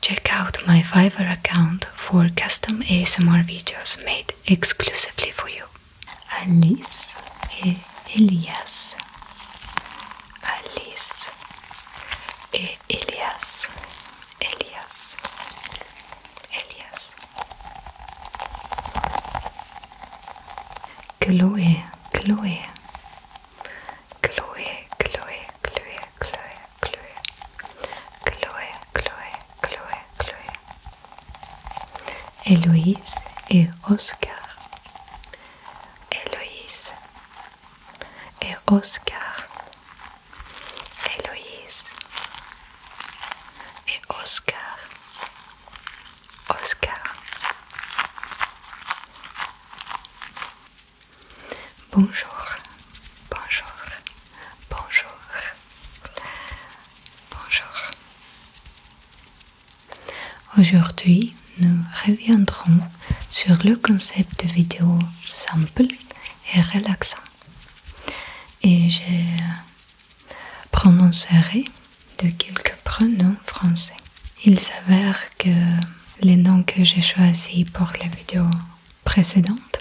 Check out my Fiverr account for custom ASMR videos made exclusively for you. Alice e Elias. Alice e Elias. Elias. Elias. Chloe, Chloe. Chloé, Chloé, Chloé, Chloé, Chloé, Chloé, Chloé, Chloé, Chloé, et Oscar, Eloise, et Oscar, Héloïse et Oscar, Oscar. Bonjour, bonjour, bonjour, bonjour. Aujourd'hui, nous reviendrons sur le concept de vidéo simple et relaxant. Et je prononcerai de quelques pronoms français. Il s'avère que les noms que j'ai choisis pour les vidéos précédentes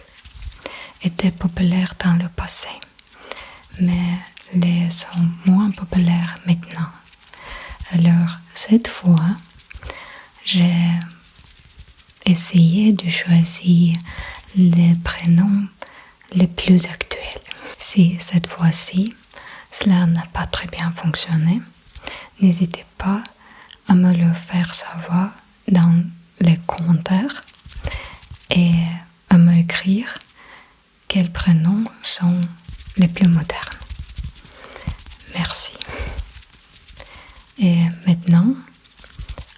étaient populaires dans le passé, mais les sont moins populaires maintenant. Alors cette fois, j'ai essayé de choisir les prénoms les plus actuels. Si cette fois-ci cela n'a pas très bien fonctionné, n'hésitez pas à me le faire savoir dans les commentaires et à m'écrire quels prénoms sont les plus modernes. Merci. Et maintenant,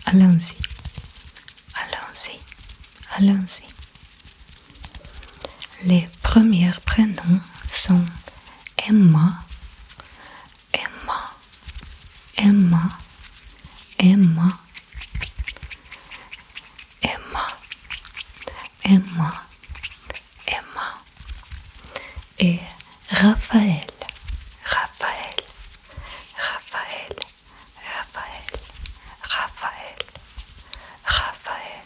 allons-y. Allons-y. Allons-y. Les premiers prénoms sont Emma, Emma, Emma, Emma, Emma, Emma, Emma. Et Raphaël, Raphaël, Raphaël, Raphaël, Raphaël, Raphaël.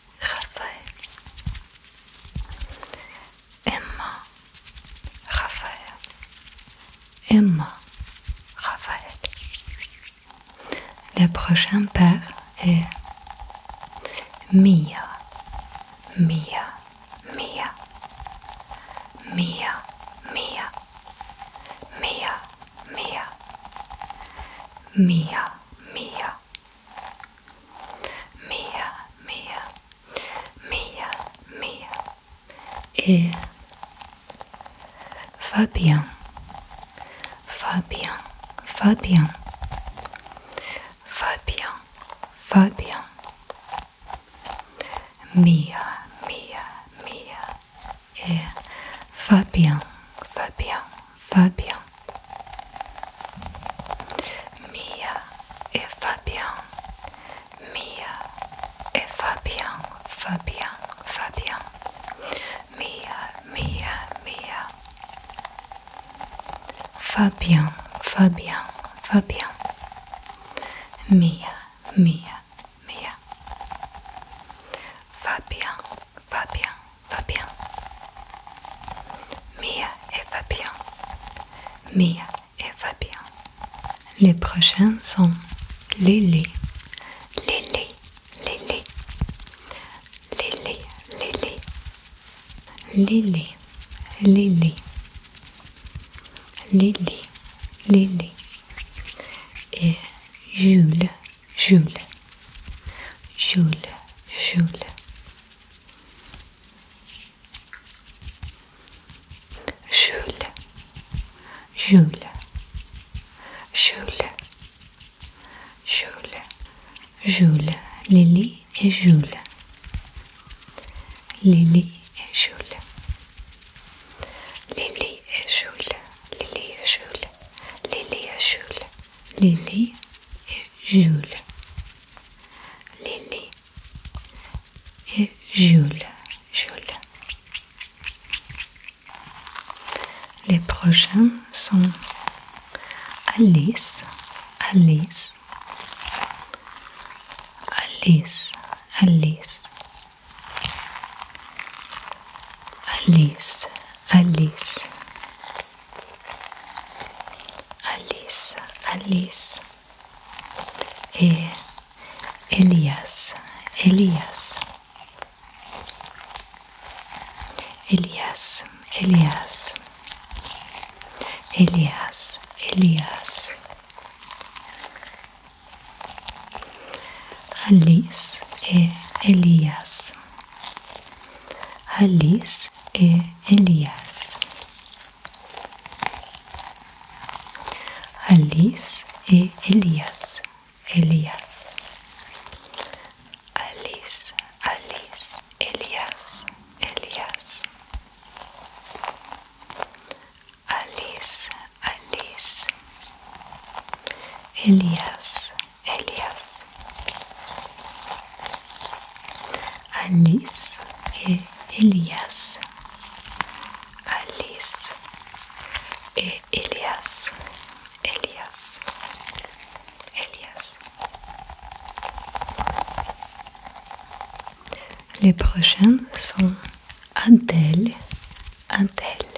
Raphaël Emma Raphaël Emma Raphaël Le prochain père est Mia Mia Mia Mia Mia Mia Mia Mia Mia Mia, Mia, Mia, Mia et va bien, va bien, va bien, va bien, va bien. Mia, Mia, Mia et va bien, va bien. Fabian, Mia et Fabien, Mia et Fabien, Fabian, Fabian, Mia, Mia, Mia, Fabien, Fabien, Fabien, Mia, Mia, Mia, Fabien, Fabien. Fabien. Mia et va Mia et va Les prochains sont Lily, Lily, Lily, Lily, Lily, Lily, Lily, Lily, Lily et Jules. Jules, Jules, Jules. Jules, Jules, Jules, Jules, Jules, Lily et Jules, Lily et Jules, Lily et Jules, Lily et Jules, Lily et Jules. Lily et Jules. Lily et Jules. Jules. Les prochains sont Alice, Alice, Alice, Alice, Alice, Alice, Alice, Alice e Elias, Elias, Elias, Elias, Elias, Elias, Alice e Elias. Alice e Elias. Alice e Elias. Elias. Alice, Alice, Elias, Elias. Alice, Alice, Elias. Elias. Alice et Elias. Alice et Elias. Elias. Elias. Les prochains sont Adèle, Adèle,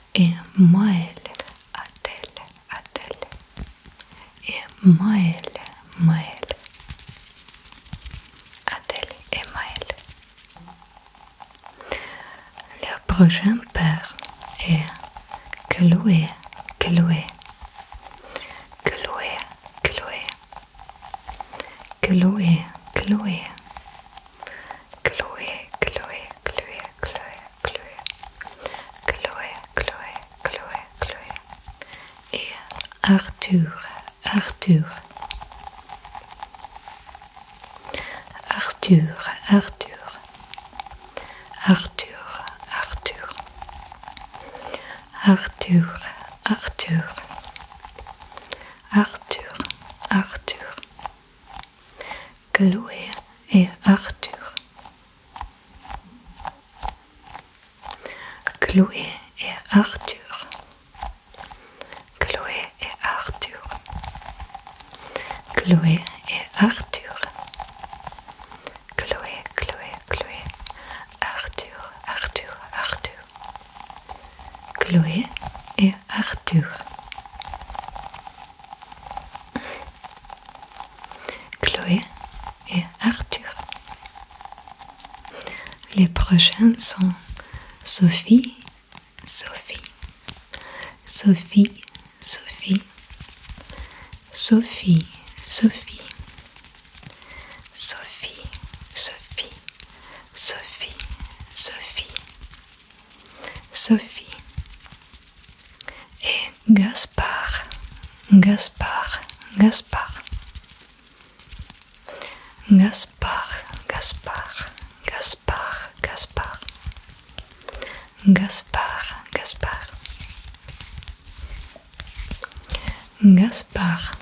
Et moi, elle, elle, elle. Et moi, elle, moi, elle. Elle, Le prochain père est Khloé, Khloé, Khloé, Khloé. Chloé, Chloé, Chloé, Chloé, Chloé, Chloé, Chloé, Chloé, Chloé, Chloé, Chloé, et Arthur, Arthur, Arthur, Arthur, Arthur, Arthur, Arthur, Arthur, Arthur, Arthur. Chloé et Arthur. Chloé et Arthur. Chloé et Arthur. Chloé et Arthur. Chloé, Chloé, Chloé. Arthur, Arthur, Arthur. Chloé et Arthur. Chloé et Arthur. Les prochaines sont Sophie, Sophie, Sophie, Sophie, Sophie, Sophie, Sophie, Sophie, Sophie, Sophie, Sophie et Gaspard, Gaspard, Gaspard, Gaspard, Gaspard, Gaspard, Gaspard, Gaspard, Gaspard, Gaspard,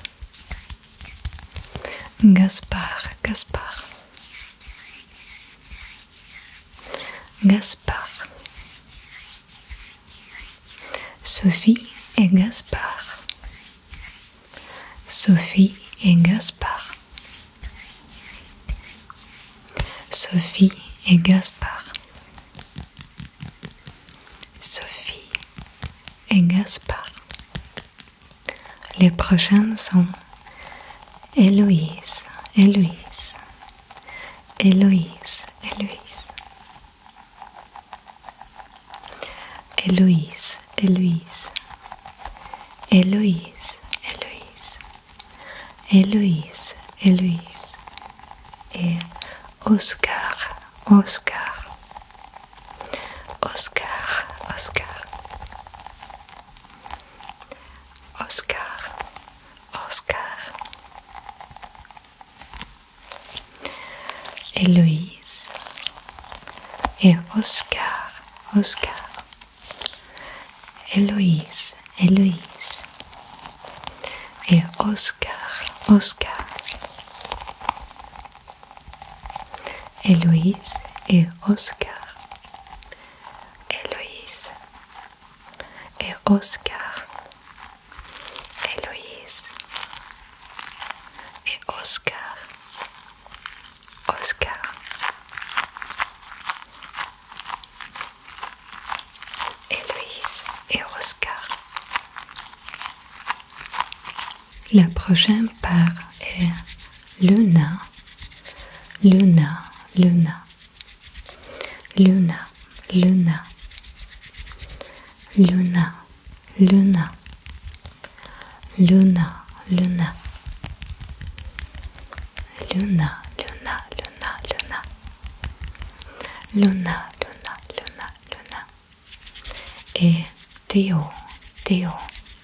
Gaspard, Gaspard. Gaspard. Sophie et Gaspard. Sophie et Gaspard. Sophie et Gaspard. Sophie et Gaspard. Les prochains sont Héloïse, Héloïse, Héloïse, Héloïse, Héloïse, Héloïse, Héloïse, Héloïse, Héloïse, Héloïse, et Oscar, Oscar, Oscar, Oscar, Oscar, Oscar, Héloïse et Oscar, Oscar, Héloïse, Héloïse et Oscar, Oscar. Éloïse et Oscar. Éloïse et Oscar. Éloïse et Oscar. Oscar. Éloïse et Oscar. La prochaine part est Luna, Luna, Luna, Luna, Luna, Luna, Luna, Luna, Luna, Luna, Luna, Luna, Luna, Luna, Luna, Luna, Luna, et Théo, Théo.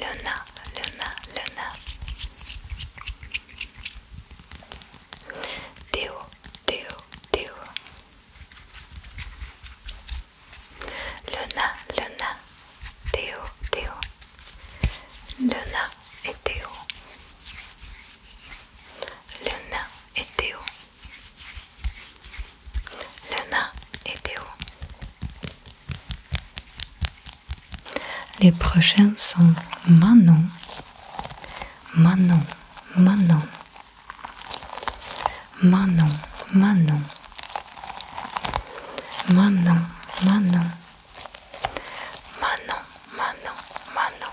Luna, Luna, Luna. Teo, Teo, Teo. Luna, Luna, Teo, Teo. Luna et Teo. Luna et Teo. Luna et Théo. Les prochains sont Manon, Manon, Manon, Manon, Manon, Manon, Manon, Manon, Manon, Manon,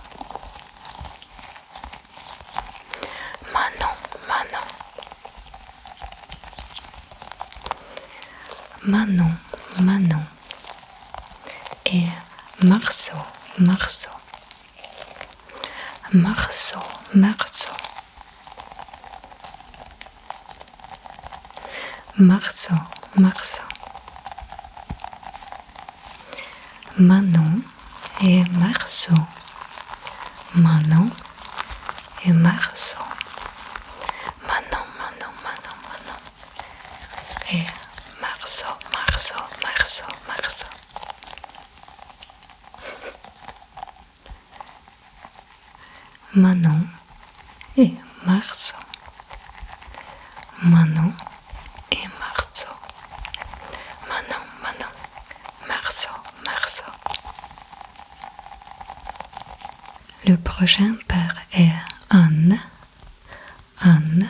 Manon, Manon. Manon, Manon. Et Marceau, Marceau. Marceau, Marceau. Marceau, Marceau. Manon, et Marceau. Manon et Marceau. Manon, Manon, Manon, Manon. Et Marceau, Marceau, Marceau, Marceau. Manon et Marceau. Manon et Marceau. Manon, Manon. Marceau, Marceau. Le prochain père est Anne, Anne,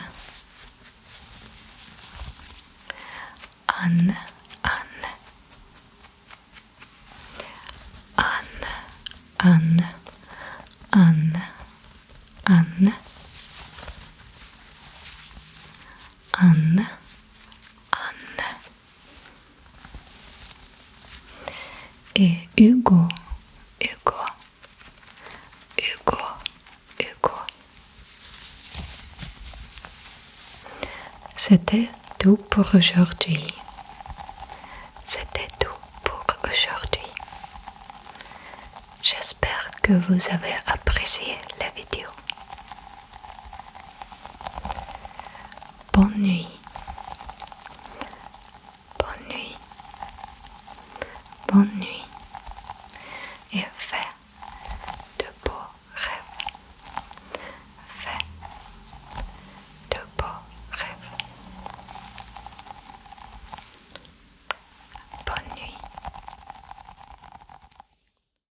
Anne, Anne, Anne, Anne, Anne, Anne, Anne, Anne et Hugo, Hugo, Hugo, Hugo. C'était tout pour aujourd'hui. C'était tout pour aujourd'hui. J'espère que vous avez apprécié la vidéo. Bonne nuit. Bonne nuit. Bonne nuit. Et fais de beaux rêves. Fais de beaux rêves. Bonne nuit.